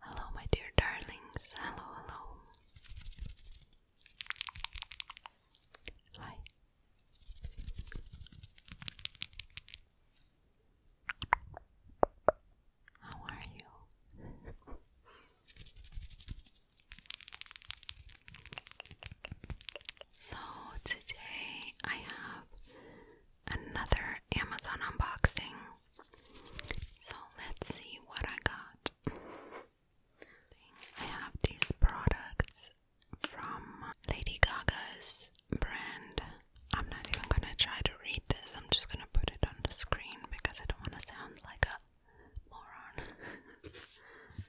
Hello, my dear darlings. Hello, hello. Hi. How are you? So, today I have another Amazon unboxing. So, let's see what I got. I have these products from Lady Gaga's brand. I'm not even gonna try to read this, I'm just gonna put it on the screen because I don't want to sound like a moron.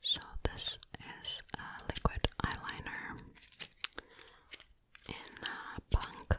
So, this is a liquid eyeliner in uh, punk.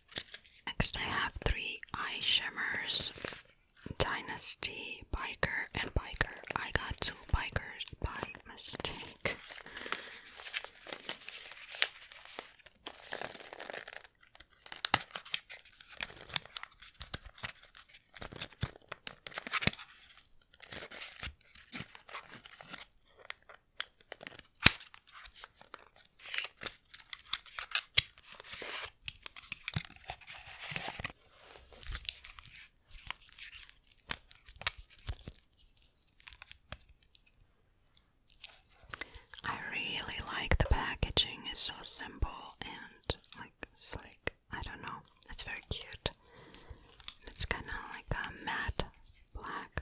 Next I have three eye shimmers. Dynasty, Biker, and Biker. I got two bikers by mistake. I really like the packaging, it's so simple and like slick. I don't know, it's very cute. It's kind of like a matte black.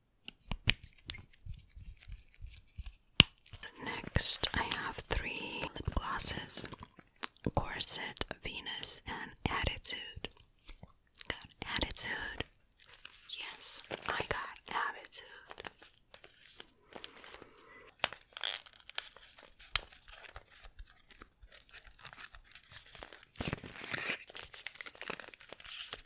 Next, I have three lip glosses Corset, Venus, and Attitude. Got attitude. Yes, I got attitude.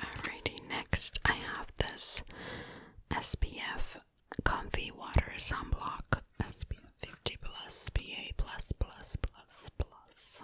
Alrighty, next I have this SPF Comfy Water Sunblock SPF 50 plus PA plus plus plus plus.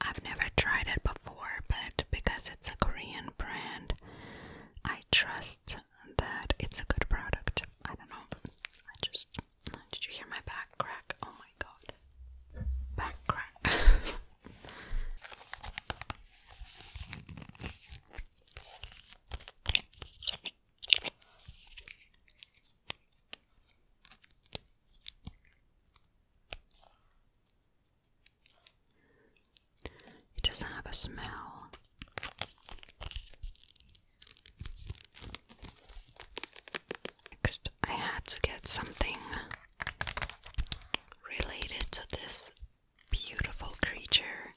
I've never tried it before, but because it's a Korean brand, I trust that it's a good product. I don't know. I just did you hear my back crack? Oh my god. Back crack. It doesn't have a smell. Next, I had to get something related to this beautiful creature.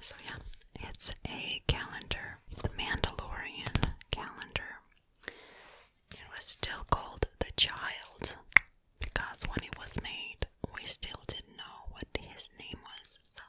so, yeah, it's a calendar, the Mandalorian calendar. It was still called The Child because when it was made, we still didn't know what his name was, so.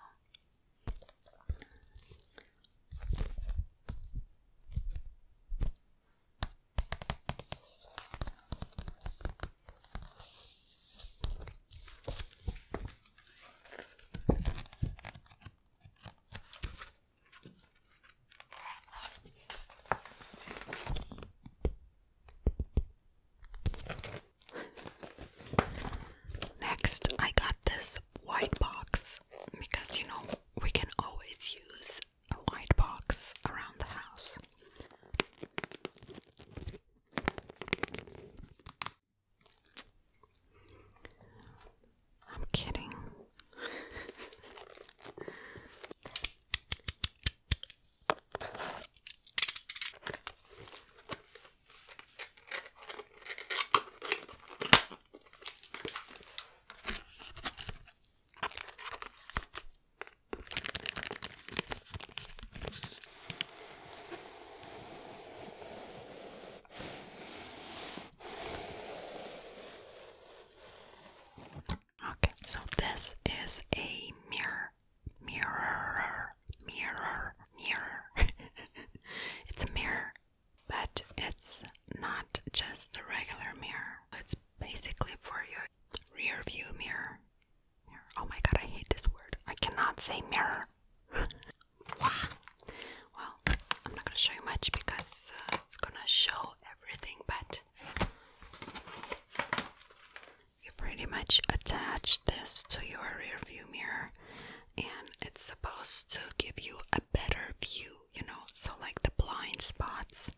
Next, I got this white box because you know we can always use a white box around the house. I'm kidding. Okay, so this is a mirror, mirror, mirror, mirror. it's a mirror, but it's not just a regular mirror. It's basically for your rear view mirror. Oh my god, I hate this word. I cannot say mirror. well, I'm not gonna show you much because uh, it's gonna show everything, but you pretty much attach this to your rear mirror and it's supposed to give you a better view, you know, so like the blind spots.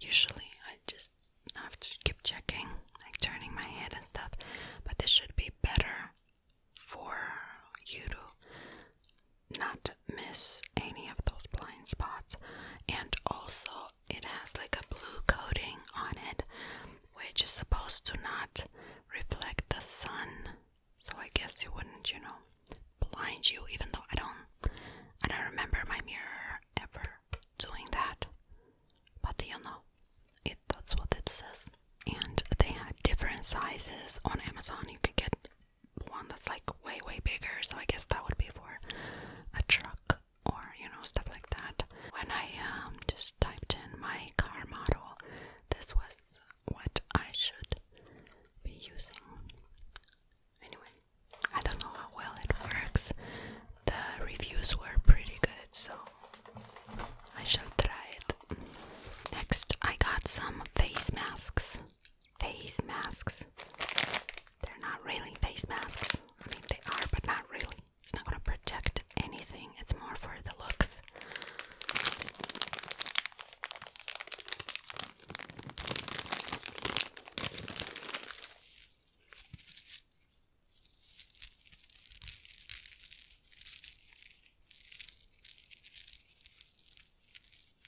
Usually I just have to keep checking, like turning my head and stuff, but this should be better for you to not miss any of those blind spots and also it has like a blue coating on it which is supposed to not reflect the sun so i guess it wouldn't you know blind you even though i don't i don't remember my mirror ever doing that but you know it that's what it says and they had different sizes on amazon you could get one that's like way way bigger so i guess that would be for a truck or you know stuff like that when i um just typed in my car model this was what i should be using anyway i don't know how well it works the reviews were pretty good so i shall try it next i got some face masks face masks. They're not really face masks. I mean, they are, but not really. It's not gonna protect anything, it's more for the looks.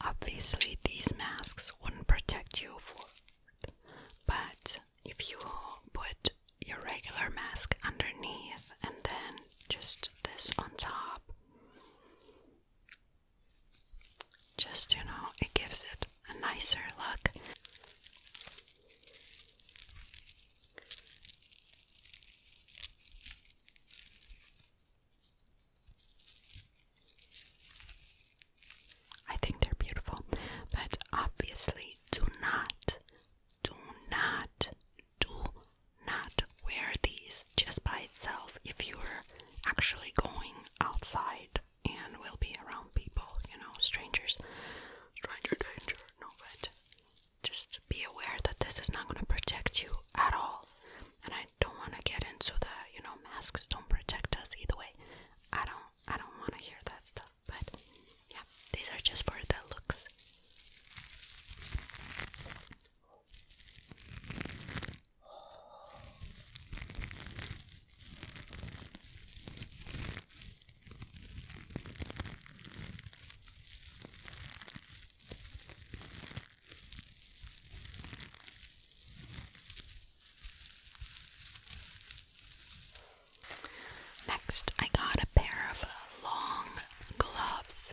Obviously, these masks wouldn't protect you for, but if you put your regular mask underneath and then just this on top, just you know, it gives it a nicer look. I think they're beautiful, but obviously, do not, do not, do not wear these just by itself if you're actually going outside and will be around people, you know, strangers. Stranger danger, no, but just be aware that this is not going to protect you at all. And I don't want to get into the, you know, masks don't protect us either way. I don't I don't want to hear that stuff, but yeah, these are just for the looks. Next, I got a pair of long gloves.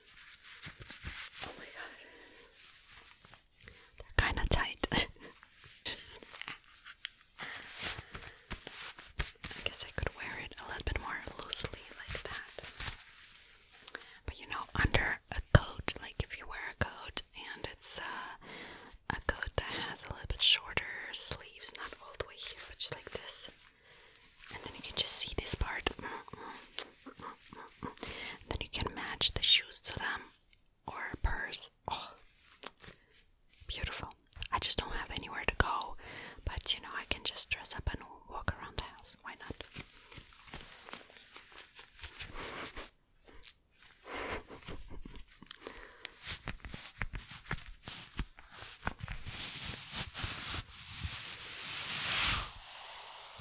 Oh my god. They're kind of tight. I guess I could wear it a little bit more loosely like that. But you know, under a coat, like if you wear a coat and it's uh, a coat that has a little bit shorter sleeves, not all the way here, but just like this, and then you can just see this part then you can match the shoes to them or purse oh, beautiful I just don't have anywhere to go but you know I can just dress up and walk around the house why not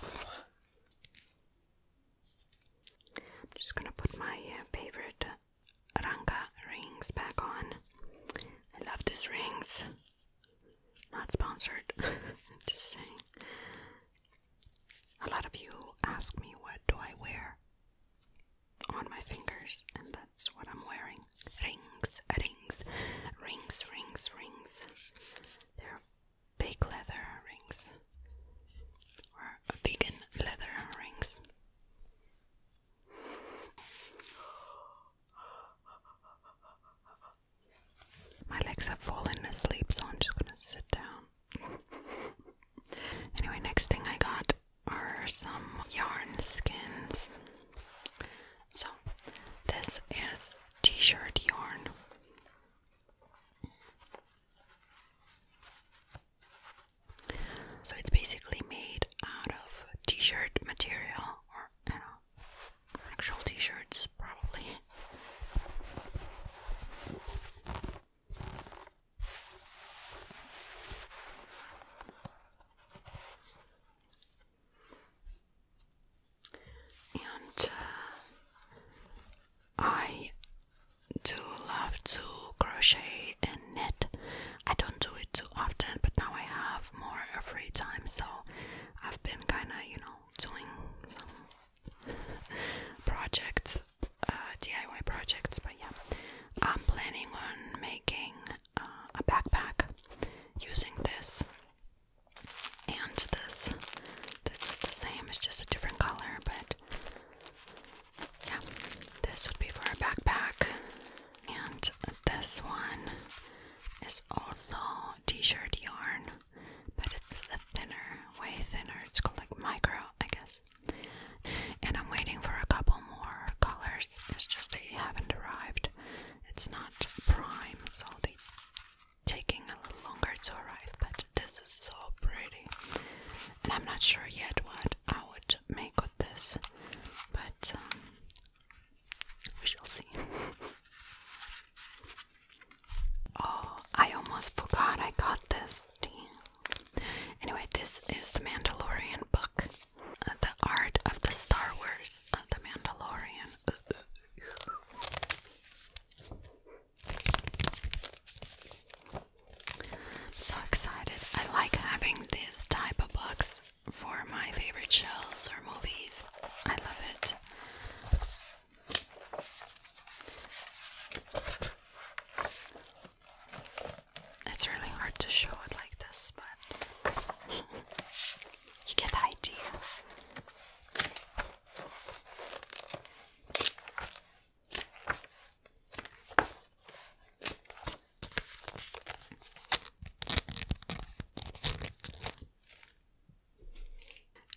I'm just gonna put my uh, favorite Ranga rings back on. I love these rings. Not sponsored, just saying. A lot of you ask me what do I wear on my fingers, and that's what I'm wearing. Rings, rings, rings, rings, rings. They're big leather rings or vegan leather rings. My legs have fallen asleep, so I'm just gonna sit down. anyway, next thing I got are some yarn skins. So, this is t shirt yarn. So it's basically made out of t shirt material or actual t shirts, probably and uh, I do love to crochet and knit. I don't do it too often, but now I have more free time, so I've been kind of, you know, doing some projects, uh, DIY projects. But yeah, I'm planning on making uh, a backpack using this and this, this is the same. It's just a different color, but yeah, this would be for a backpack, and this one is also t-shirt yarn, but it's a thinner, way thinner. It's called like micro, I guess. And I'm waiting for a couple more colors. It's just they haven't arrived it's not prime, so they taking a little longer to arrive. But this is so pretty, and I'm not sure yet what I would make with this, but um, we shall see. oh, I almost forgot I got this. Anyway, this is the Mandalorian book, uh, the art of the Star Wars, uh, the Mandalorian. I'm so excited. I like having this type of box for my favorite shows or movies. I love it. It's really hard to show it like this, but You get the idea.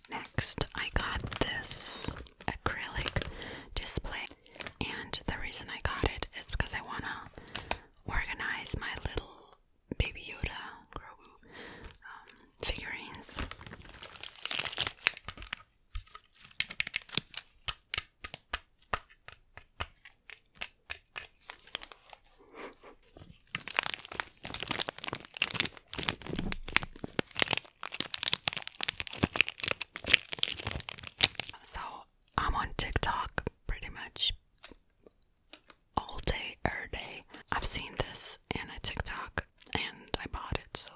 Next, I got this acrylic display, and the reason I got it is because I want to organize my little Baby Yoda, um, figurines. So I'm on TikTok pretty much all day, every day. I've seen this in a TikTok and I bought it, so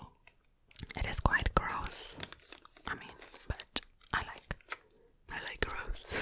it is quite gross. I mean, but I like, I like gross.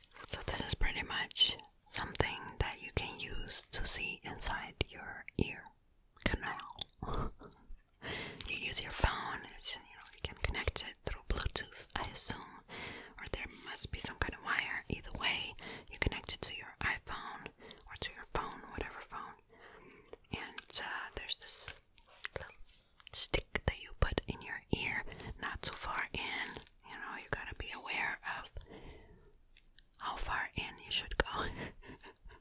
So this is pretty much something that you can use to see inside your ear canal. you use your phone, you know, you can connect it through Bluetooth, I assume, or there must be some kind of wire. Either way, you connect it to your iPhone or to your phone, whatever phone. And uh, there's this stick that you put in your ear, not too far in. You know, you gotta be aware of how far in you should go.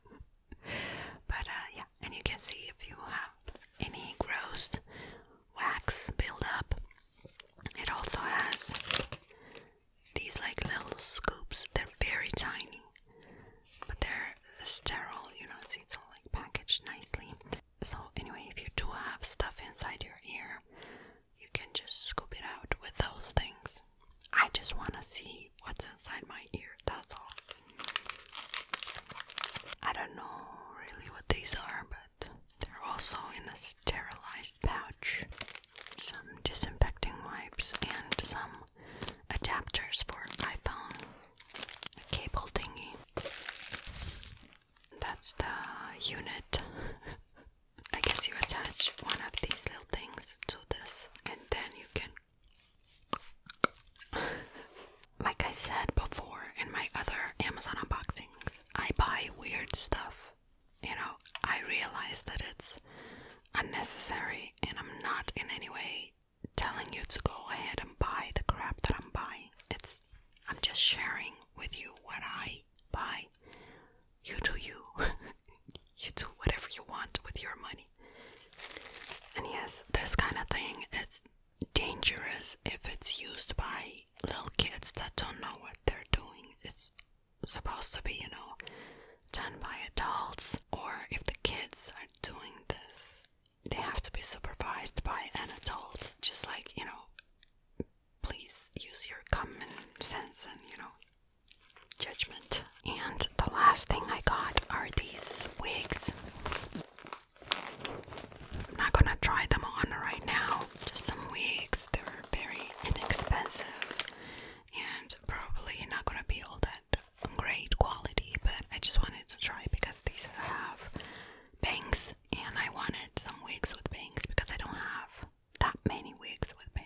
but uh, yeah, and you can see if you have any gross wax buildup. It also has these like little scoops. They're very tiny, but they're sterile. You know, see, it's all like packaged nicely. So, anyway, if you do have stuff inside your ear, you can just scoop it out with those things. I just want to see what's inside my ear, that's all. I don't know really what these are, but they're also in a sterilized pouch. Some disinfecting wipes and some adapters for iPhone, a cable thingy that's the unit. I guess you attach one of these little things to this, and then you can. like I said before in my other Amazon unboxings, I buy weird stuff. You know, I realize that it's unnecessary, and I'm not in any way telling you to go ahead and buy the crap that I'm buying. It's I'm just sharing with you what I buy. You do you. you do whatever you want with your money. And yes, this kind of thing it's dangerous if it's used by little kids that don't know what they're doing. It's supposed to be, you know, done by adults, or if the kids are doing this they have to be supervised by an adult. Just like, you know, please use your common sense and, you know, judgment. And the last thing I got are these wigs. I'm not gonna try them on right now. Just some wigs. They're very inexpensive and probably not gonna be all that great quality, but I just wanted to try because these have bangs, and I wanted some wigs with bangs because I don't have that many wigs with bangs.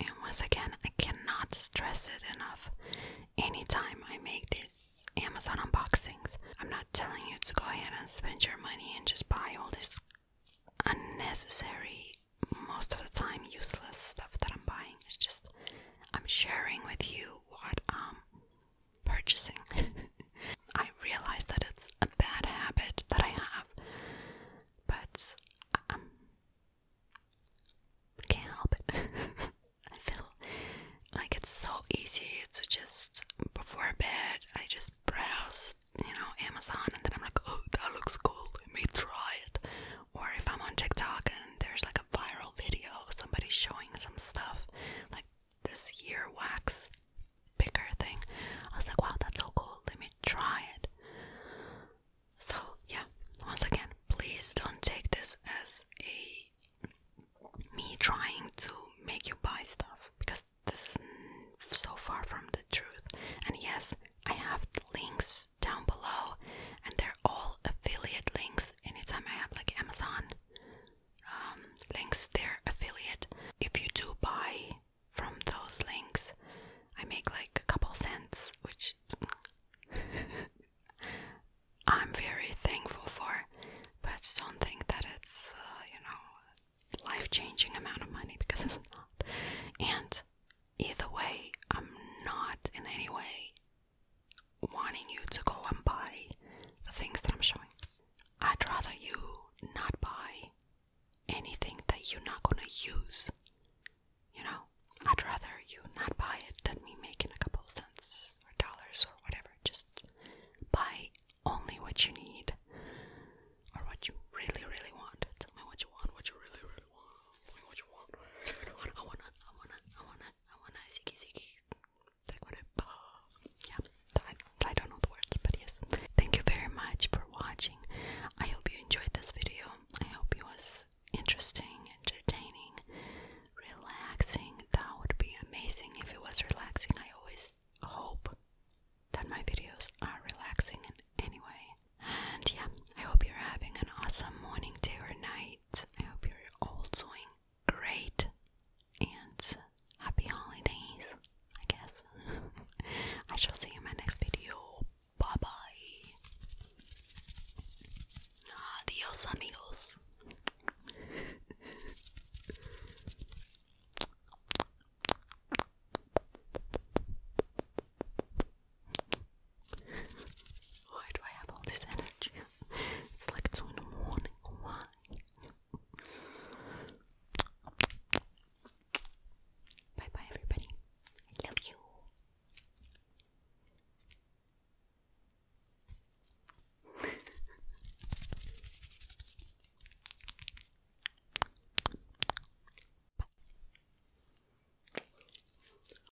And once again, I cannot stress it enough. Anytime I make these Amazon unboxings, I'm not telling you to go ahead and spend your money and just buy all this unnecessary, most of the time useless stuff that I'm buying. It's just I'm sharing with you what i purchasing. I realize that it's a bad habit that I have, but I can't help it. I feel like it's so easy to just, before bed, I just browse, you know, Amazon, and then I'm like, oh, that looks cool, let me try it. Or if I'm on TikTok and there's like a viral video somebody showing some stuff, like this ear wax picker thing. I was like, wow, that's so cool. Let me try it. So, yeah, once again, please don't take this as a me trying to make you buy stuff because this is so far from the truth. And yes, I have the links down below, and they're all affiliate links anytime I have like Amazon um, links, their affiliate. If you do buy from those links, I make like a couple cents, which I'm very thankful for, but don't think that it's, uh, you know, life changing amount of money because it's not. And either way, I'm not in any way wanting you to go and buy the things that I'm showing. I'd rather you not buy anything that you're not gonna use. You know, I'd rather you not buy it than me making a couple of cents or dollars or whatever. Just buy only what you need or what you really, really want. Tell me what you want, what you really, really want. what you want. I wanna, I wanna, I wanna, I wanna ziggy ziggy. Like what yeah. I, I don't know the words, but yes. Thank you very much for watching. I hope you enjoyed this video. I hope it was interesting, entertaining, relaxing. That would be amazing if it was relaxing. I always hope that my videos are relaxing in any way. And yeah, I hope you're having an awesome morning, day, or night. I hope you're all doing great and happy holidays, I guess. I shall see you in my next video. Bye bye. Adios, amigos. Why do I have all this energy? It's like two in the morning. Why? Bye bye, everybody. I love you.